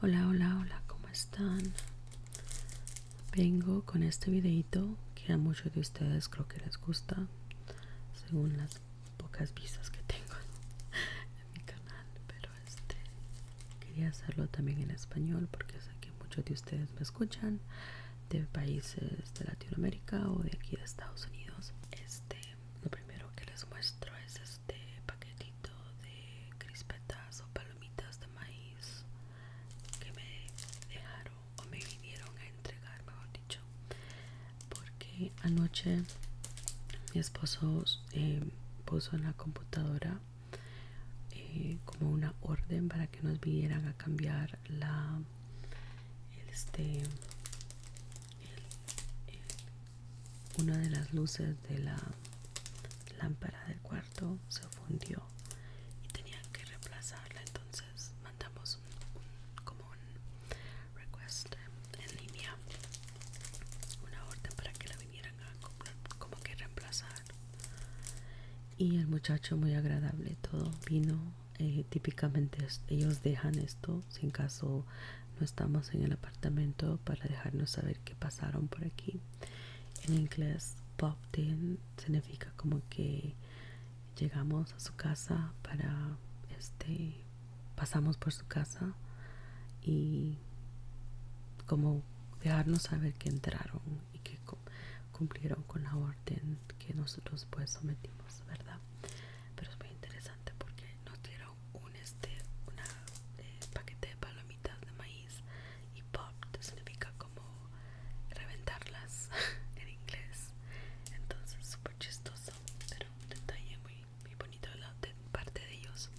Hola, hola, hola, ¿cómo están? Vengo con este videito que a muchos de ustedes creo que les gusta, según las pocas vistas que tengo en mi canal, pero este quería hacerlo también en español porque sé que muchos de ustedes me escuchan de países de Latinoamérica o de aquí de Estados Unidos. Este, lo primero que les muestro es este paquetito de crispetas o palomitas de maíz que me dejaron o me vinieron a entregar, mejor dicho, porque anoche mi esposo em, puso en la computadora eh, como una orden para que nos vinieran a cambiar la este una de las luces de la lámpara del cuarto se fundió y tenían que reemplazarla entonces mandamos como un request en línea una orden para que la vinieran a comprar como que reemplazar y el muchacho muy agradable todo vino eh, típicamente ellos dejan esto si en caso no estamos en el apartamento para dejarnos saber que pasaron por aquí en inglés popped in significa como que llegamos a su casa para este pasamos por su casa y como dejarnos saber que entraron y que cumplieron con la orden que nosotros pues sometimos, ¿verdad? Pero es muy interesante porque nos dieron un este, eh, paquete de palomitas de maíz y pop significa como reventarlas en inglés. Entonces súper chistoso, pero un detalle muy, bonito de, parte de ellos.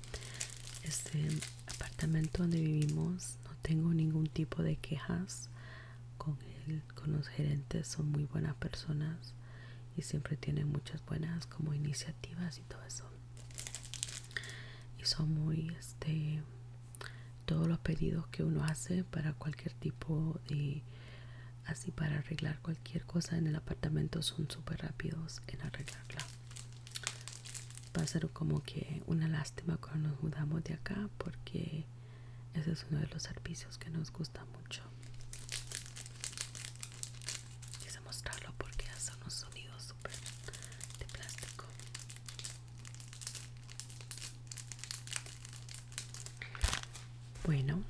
Este apartamento donde vivimos no tengo ningún tipo de quejas con el con, los gerentes son muy buenas personas y siempre tienen muchas buenas como iniciativas y todo eso y son muy este todos los pedidos que uno hace para cualquier tipo de así para arreglar cualquier cosa en el apartamento son súper rápidos en arreglarla va a ser como que una lástima cuando nos mudamos de acá porque ese es uno de los servicios que nos gusta mucho. Quise mostrarlo porque hace unos sonidos súper de plástico. Bueno,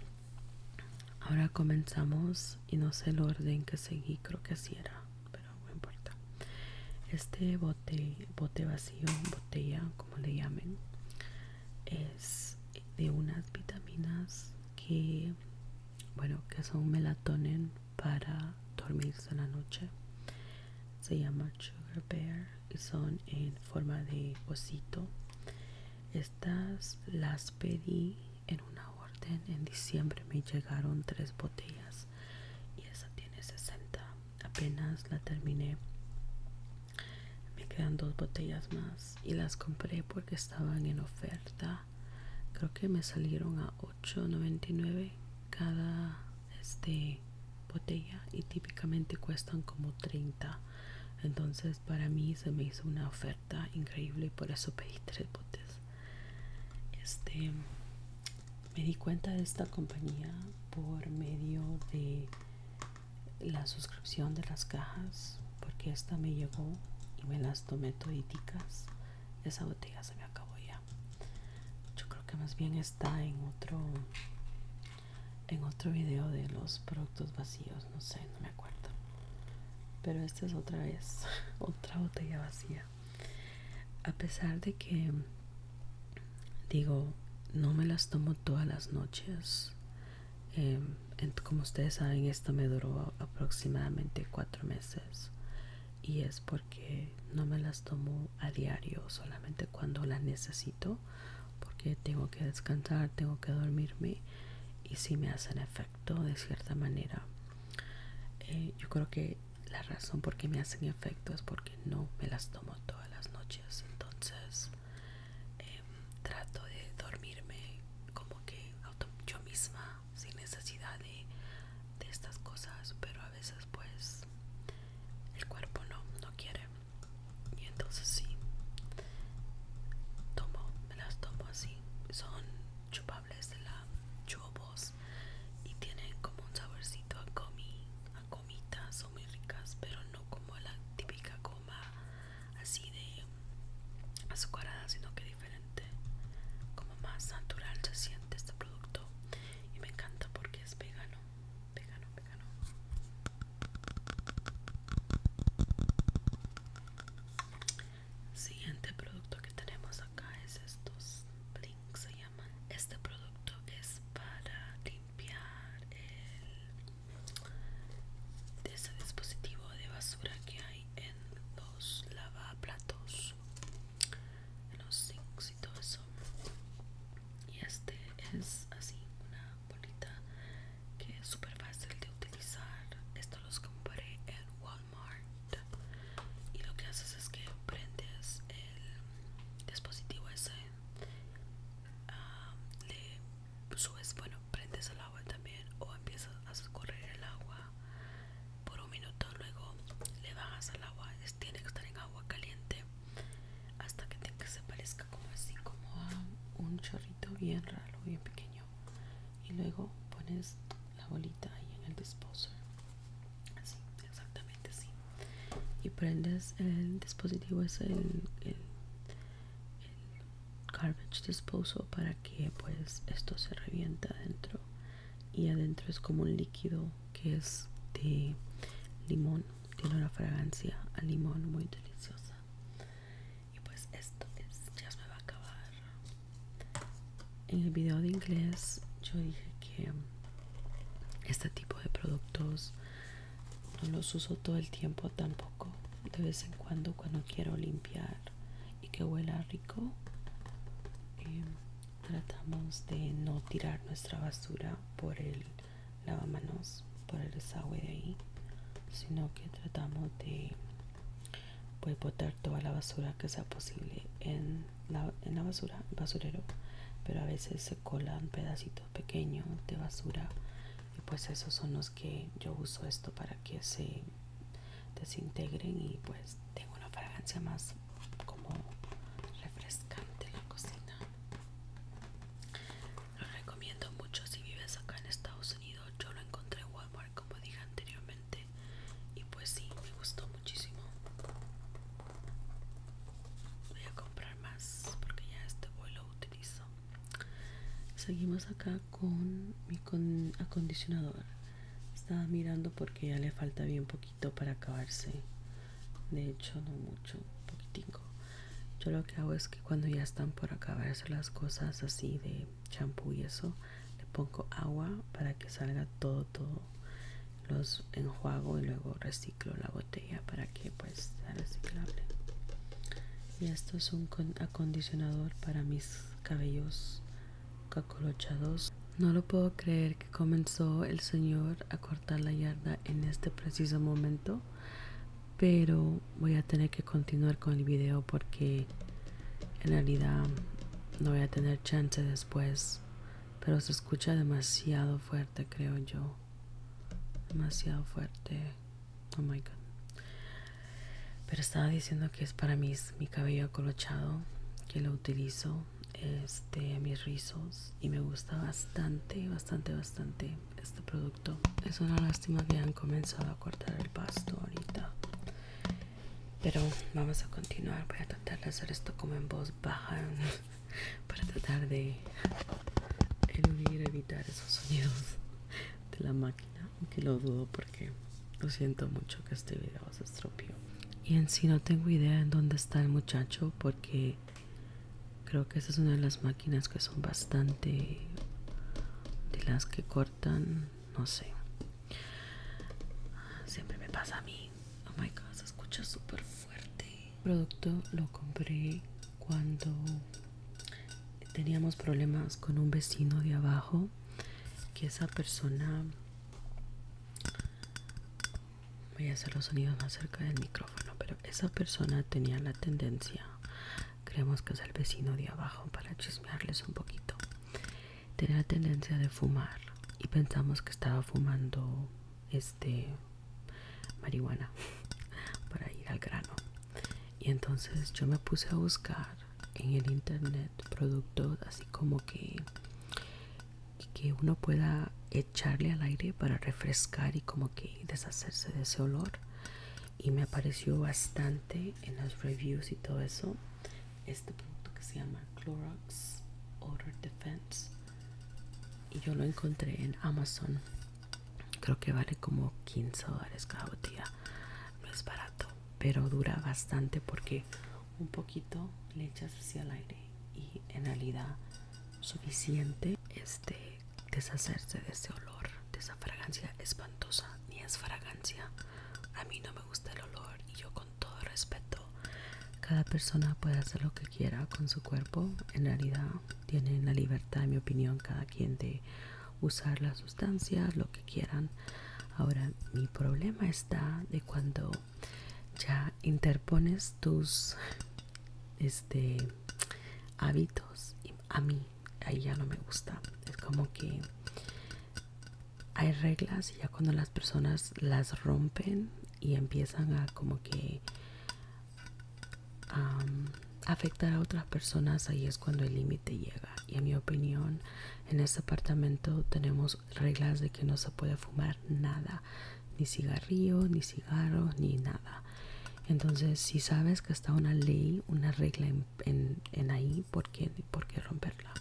ahora comenzamos y no sé el orden que seguí, creo que así era, pero no importa. Este bote, bote vacío, botella, como le llamen, es de unas vitaminas que bueno que son melatonin para dormirse en la noche se llama sugar bear y son en forma de osito estas las pedí en una orden en diciembre me llegaron tres botellas y esa tiene 60 apenas la terminé me quedan dos botellas más y las compré porque estaban en oferta creo que me salieron a 8.99 cada este, botella y típicamente cuestan como 30 entonces para mí se me hizo una oferta increíble por eso pedí tres botes este me di cuenta de esta compañía por medio de la suscripción de las cajas porque esta me llegó y me las tomé toditicas esa botella se me acabó ya yo creo que más bien está en otro en otro video de los productos vacíos no sé no me acuerdo pero esta es otra vez otra botella vacía a pesar de que digo, no me las tomo todas las noches. Em, como ustedes saben, esto me duró aproximadamente cuatro meses y es porque no me las tomo a diario, solamente cuando las necesito, porque tengo que descansar, tengo que dormirme y si me hacen efecto de cierta manera. Eh, yo creo que la razón por qué me hacen efecto es porque no me las tomo todas las noches, entonces Em, trato de dormirme como que yo misma sin necesidad de, estas cosas pero a veces pues el cuerpo no no quiere y entonces sí tomo me las tomo así son chupables de la chubos y tienen como un saborcito a comi gomitas son muy ricas pero no como la típica goma así de azucarada sino que diferente como más natural se siente este producto y me encanta porque es vegano vegano vegano siguiente producto que tenemos acá es estos blinks se llaman este producto es para limpiar limpiar el, ese dispositivo de basura que hay en los lavaplatos, en los sinks y todo eso. Y este es así, una bolita que es súper fácil de utilizar. Esto los compré en Walmart. Y lo que haces es que prendes el dispositivo ese Ah, le subes, bueno, prendes el agua también o empiezas a escorrer el agua por un minuto, luego le bajas al agua, tiene que estar en agua caliente hasta que, que se parezca como así, como a un chorrito bien raro, bien pequeño. Y luego pones la bolita ahí en el disposer. Así, exactamente así y prendes el dispositivo es el, garbage disposal para que pues esto se revienta adentro y adentro es como un líquido que es de limón tiene una fragancia a limón muy deliciosa y pues esto es ya me va a acabar en el video de inglés yo dije que este tipo de productos no los uso todo el tiempo tampoco de vez en cuando cuando quiero limpiar y que huela rico eh, tratamos de no tirar nuestra basura por el lavamanos por el desagüe de ahí sino que tratamos de pues, botar toda la basura que sea posible en la, en basura basurero pero a veces se colan pedacitos Pequeño, de basura y pues esos son los que yo uso esto para que se desintegren y pues tengo una fragancia más como refrescante la cocina lo recomiendo mucho si vives acá en Estados Unidos yo lo encontré en Walmart como dije anteriormente y pues sí me gustó muchísimo voy a comprar más porque ya este voy lo utilizo seguimos acá con mi acondicionador estaba mirando porque ya le falta bien poquito para acabarse de hecho no mucho poquitico yo lo que hago es que cuando ya están por acabarse las cosas así de champú y eso le pongo agua para que salga todo todo los enjuago y luego reciclo la botella para que pues sea reciclable y esto es un acondicionador para mis cabellos cacolochados no lo puedo creer que comenzó el señor a cortar la yarda en este preciso momento pero voy a tener que continuar con el video porque en realidad no voy a tener chance después pero se escucha demasiado fuerte creo yo demasiado fuerte oh my god pero estaba diciendo que es para mi cabello acolochado que lo utilizo este a mis rizos y me gusta bastante bastante bastante este producto es una lástima que han comenzado a cortar el pasto ahorita pero vamos a continuar voy a tratar de hacer esto como en voz baja para tratar de eludir, evitar esos sonidos de la máquina, aunque lo dudo porque lo siento mucho que este video se estropeó. Y en sí no tengo idea en dónde está el muchacho porque creo que esta es una de las máquinas que son bastante de las que cortan, no sé. Siempre me pasa a mí. Oh my god, se escucha súper fuerte producto lo compré cuando teníamos problemas con un vecino de abajo que esa persona voy a hacer los sonidos más cerca del micrófono pero esa persona tenía la tendencia creemos que es el vecino de abajo para chismearles un poquito tenía la tendencia de fumar y pensamos que estaba fumando este marihuana para ir al grano y entonces yo me puse a buscar en el internet productos así como que que uno pueda echarle al aire para refrescar y como que deshacerse de ese olor y me apareció bastante en las reviews y todo eso este producto que se llama Clorox Odor Defense y yo lo encontré en Amazon creo que vale como 15 dólares cada botella no es barato pero dura bastante porque un poquito le echas hacia el aire y en realidad suficiente este deshacerse de ese olor de esa fragancia espantosa ni es fragancia a mí no me gusta el olor y yo con todo respeto cada persona puede hacer lo que quiera con su cuerpo en realidad tienen la libertad en mi opinión cada quien de usar las sustancias lo que quieran ahora mi problema está de cuando ya interpones tus este hábitos a mí ahí ya no me gusta es como que hay reglas y ya cuando las personas las rompen y empiezan a como que afectar a otras personas, ahí es cuando el límite llega. Y en mi opinión, en este apartamento tenemos reglas de que no se puede fumar nada, ni cigarrillo, ni cigarro, ni nada. Entonces, si sabes que está una ley, una regla en, ahí, ¿por ¿por qué romperla?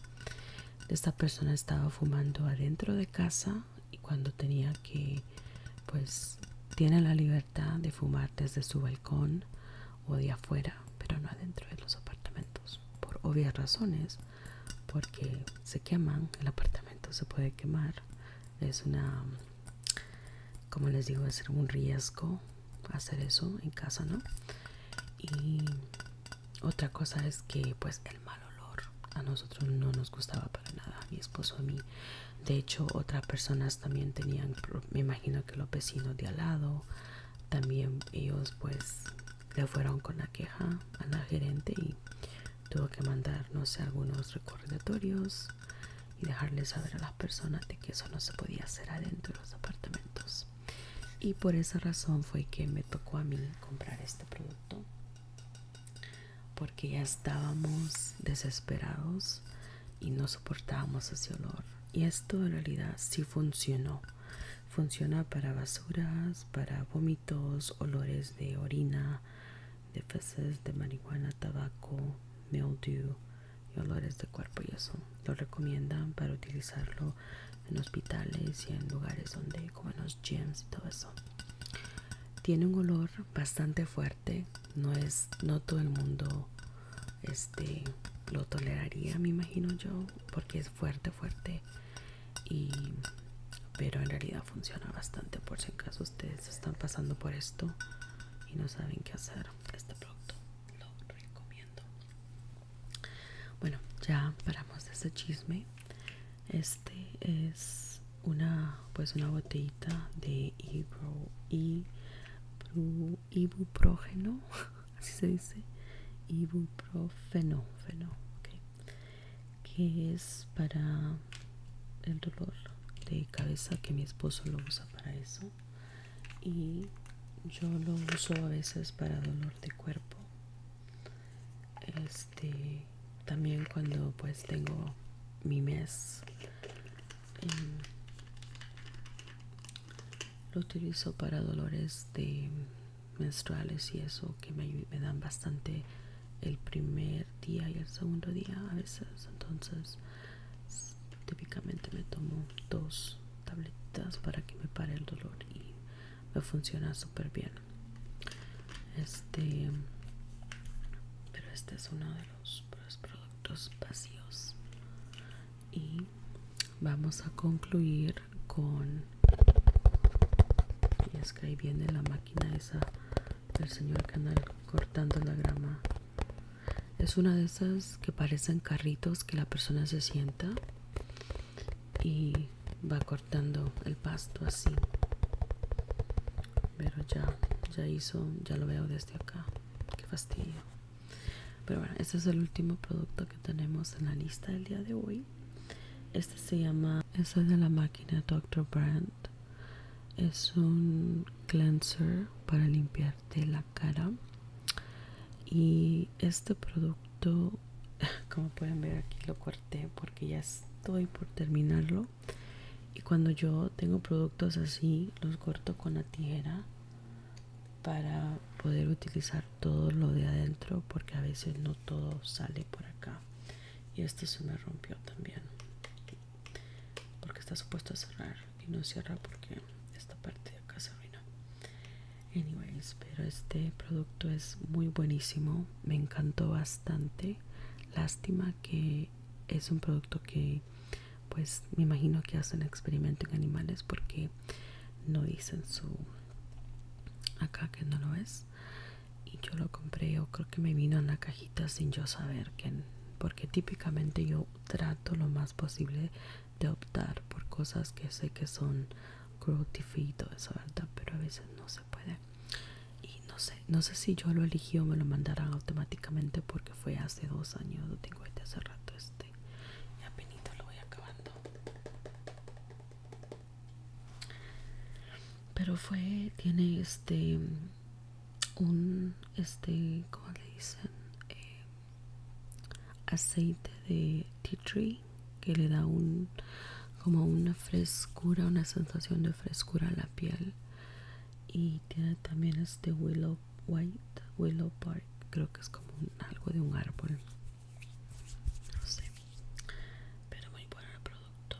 Esta persona estaba fumando adentro de casa y cuando tenía que, pues, tiene la libertad de fumar desde su balcón o de afuera, pero no adentro de los apartamentos, por obvias razones, porque se queman, el apartamento se puede quemar, es una, como les digo, es un riesgo hacer eso en casa, ¿no? Y otra cosa es que pues el mal olor a nosotros no nos gustaba para nada, a mi esposo a mí de hecho otras personas también tenían me imagino que los vecinos de al lado también ellos pues le fueron con la queja a la gerente y tuvo que mandar no sé algunos recordatorios y dejarles saber a las personas de que eso no se podía hacer adentro de los apartamentos y por esa razón fue que me tocó a mí comprar este producto porque ya estábamos desesperados y no soportábamos ese olor. Y esto en realidad sí funcionó. Funciona para basuras, para vómitos, olores de orina, de feces, de marihuana, tabaco, mildew y olores de cuerpo y eso. Lo recomiendan para utilizarlo en hospitales y en lugares donde, como los gyms y todo eso. Tiene un olor bastante fuerte no es no todo el mundo este lo toleraría me imagino yo porque es fuerte fuerte y pero en realidad funciona bastante por si en caso ustedes están pasando por esto y no saben qué hacer este producto lo recomiendo bueno ya paramos de ese chisme este es una pues una botellita de ibro, ibuprofeno así se dice ibuprofeno que es para el dolor de cabeza que mi esposo lo usa para eso y yo lo uso a veces para dolor de cuerpo este también cuando pues tengo mi mes Em, lo utilizo para dolores de menstruales y eso que me, dan bastante el primer día y el segundo día a veces entonces típicamente me tomo dos Tabletas para que me pare el dolor y me funciona súper bien este pero este es uno de los los productos vacíos y vamos a concluir con y es que ahí viene la máquina esa del señor canal cortando la grama es una de esas que parecen carritos que la persona se sienta y va cortando el pasto así pero ya ya hizo ya lo veo desde acá qué fastidio pero bueno este es el último producto que tenemos en la lista del día de hoy este se llama esto es de la máquina Dr. Brand es un cleanser para limpiarte la cara y este producto como pueden ver aquí lo corté porque ya estoy por terminarlo y cuando yo tengo productos así los corto con la tijera para poder utilizar todo lo de adentro porque a veces no todo sale por acá y esto se me rompió también porque está supuesto a cerrar y no cierra porque esta parte de acá se arruinó anyways pero este producto es muy buenísimo me encantó bastante lástima que es un producto que pues me imagino que hacen experimento en animales porque no dicen su acá que no lo es y yo lo compré yo creo que me vino en la cajita sin yo saber que porque típicamente yo trato lo más posible de optar por cosas que sé que son cruelty free todo eso verdad pero a veces no se puede y no sé no sé si yo lo elegí o me lo mandarán automáticamente porque fue hace dos años, lo tengo este hace rato este y lo voy acabando pero fue, tiene este un este, le dicen eh, aceite de tea tree que le da un como una frescura, una sensación de frescura a la piel y tiene también este willow White Willow Park, creo que es como algo de un árbol, no sé, pero muy bueno el producto.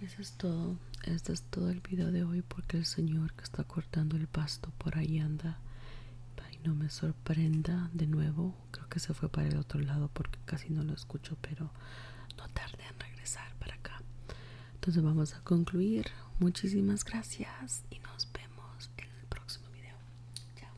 Y eso es todo, este es todo el video de hoy porque el señor que está cortando el pasto por ahí anda. Ay, no me sorprenda de nuevo, creo que se fue para el otro lado porque casi no lo escucho, pero no tarde en regresar para acá. Entonces vamos a concluir. Muchísimas gracias y nos vemos en el próximo video. Chao.